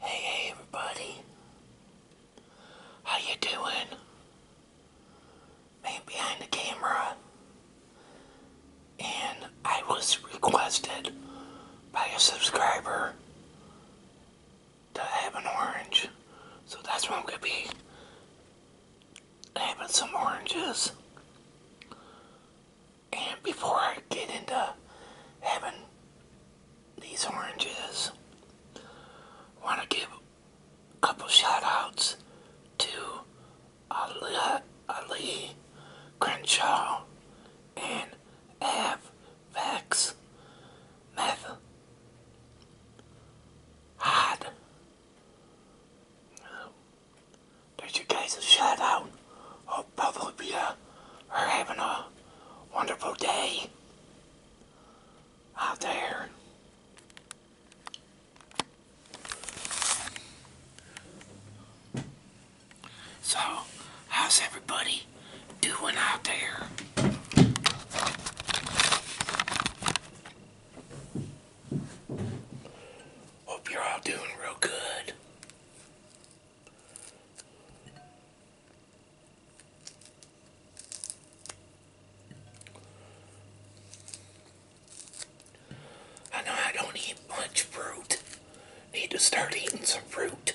Hey, hey, everybody. How you doing? Man behind the camera. And I was requested by a subscriber to have an orange. So that's what I'm going to be having some oranges. And before I get into having these oranges, want to give a couple shout outs to Ali, Ali Crenshaw and Av Vax Meth Hod. There's your guys shout out. Hope both are having a wonderful day out there. So, how's everybody doing out there? Hope you're all doing real good. I know I don't eat much fruit. Need to start eating some fruit.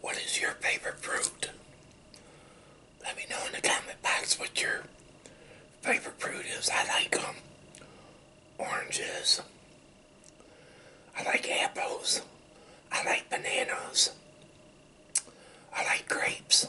What is your favorite fruit? Let me know in the comment box what your favorite fruit is. I like them. Um, oranges. I like apples. I like bananas. I like grapes.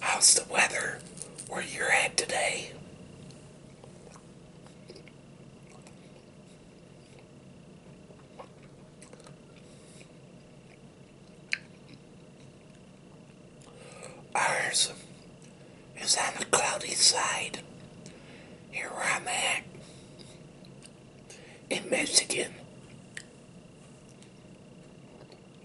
How's the weather where you're at today? Ours is on the cloudy side. Here I'm at in Michigan.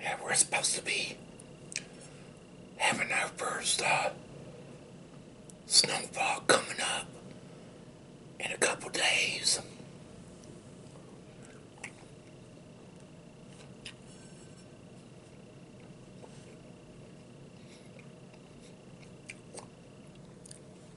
Yeah, we're supposed to be having our first uh, snowfall coming up in a couple days.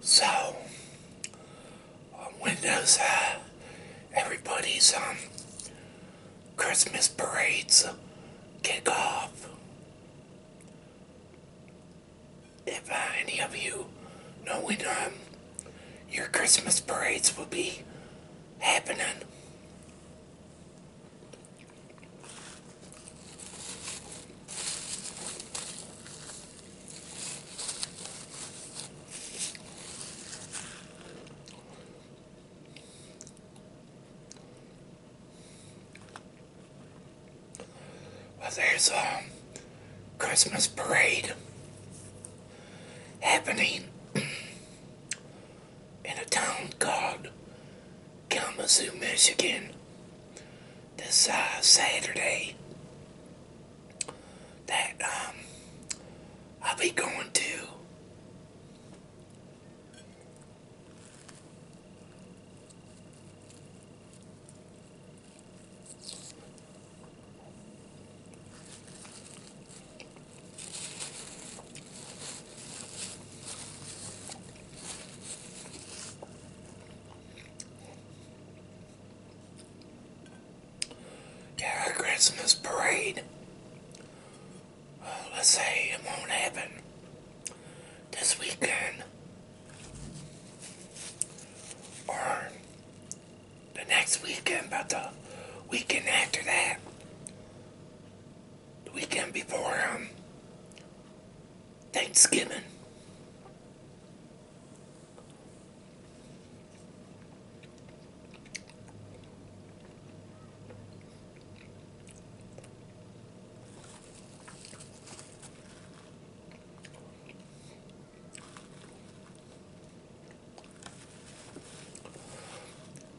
So, um, when uh, everybody's um, Christmas parades kick off? if uh, any of you know when um, your Christmas parades will be happening. Well, there's a Christmas parade happening in a town called Kalamazoo, Michigan this uh, Saturday that um, I'll be going to. Yeah, a Christmas parade. let's say it won't happen this weekend or the next weekend, about the weekend after that, the weekend before um, Thanksgiving.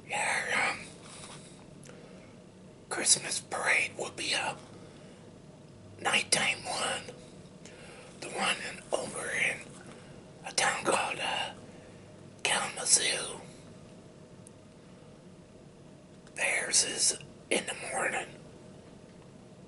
Yeah, um, Christmas Parade will be a nighttime one. The one in, over in a town called uh, Kalamazoo. Theirs is in the morning.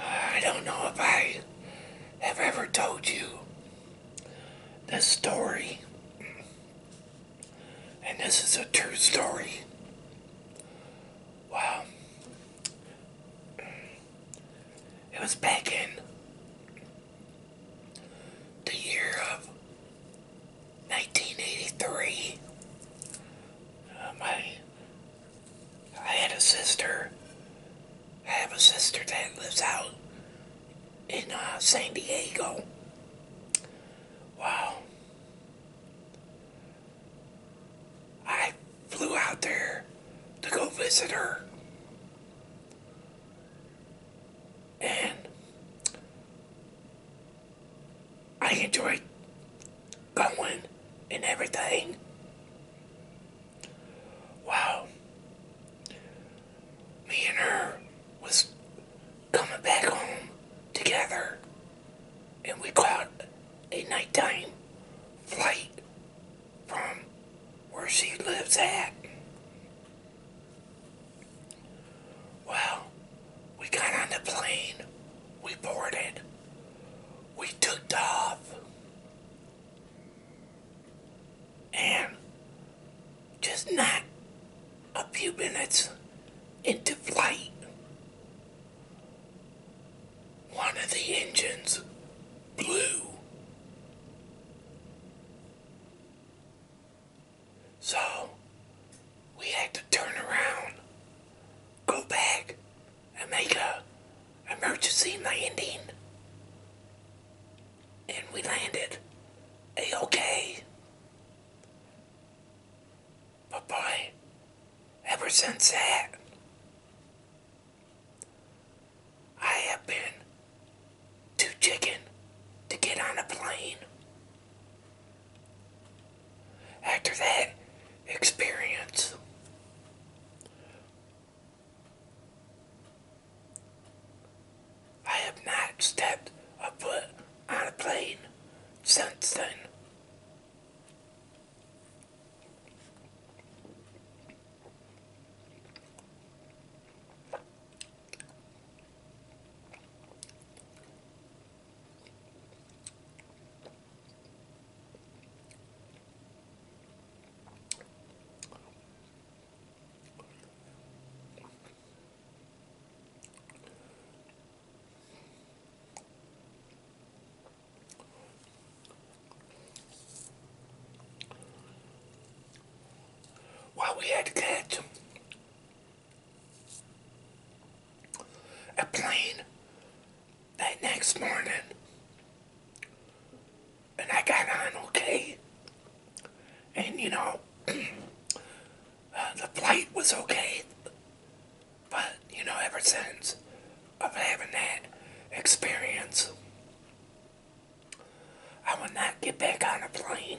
I don't know if I have ever told you this story, and this is a true story. Wow. It was back in the year of 1983, my um, I had a sister. I have a sister that lives out in uh, San Diego. Wow. I flew out there to go visit her. And I enjoyed going and everything. Wow. Me and her was coming back home together and we caught a nighttime flight from where she lives at. Well, we got on the plane, we boarded, we took off, and just not a few minutes into flight, one of the engines blew. So, we had to turn around, go back, and make a emergency landing. And we landed a-okay. But boy, ever since that, I have been too chicken to get on a plane. After that experience, I have not stepped a foot on a plane since then. Well, we had cats a plane that next morning. And I got on okay. And you know, the flight was okay. But, you know, ever since of having that experience, I will not get back on a plane.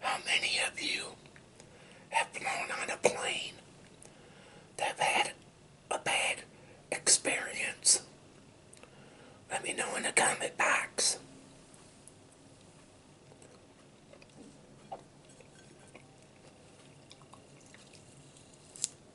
How many of you have flown on a plane that had a bad experience? Let me know in the comment box.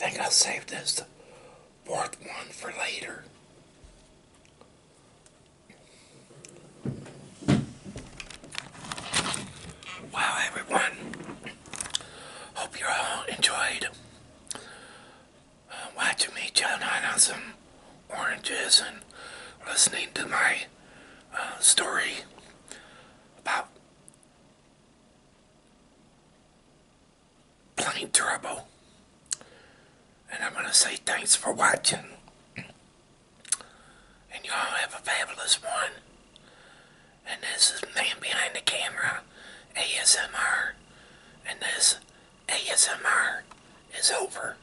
I think I'll save this fourth one for later. Wow, everyone. Hope you all enjoyed uh, watching me chow on some oranges and listening to my story about plain trouble. And I'm going to say thanks for watching. And you all have a fabulous one. And this is Man Behind the Camera ASMR. And this ASMR is over.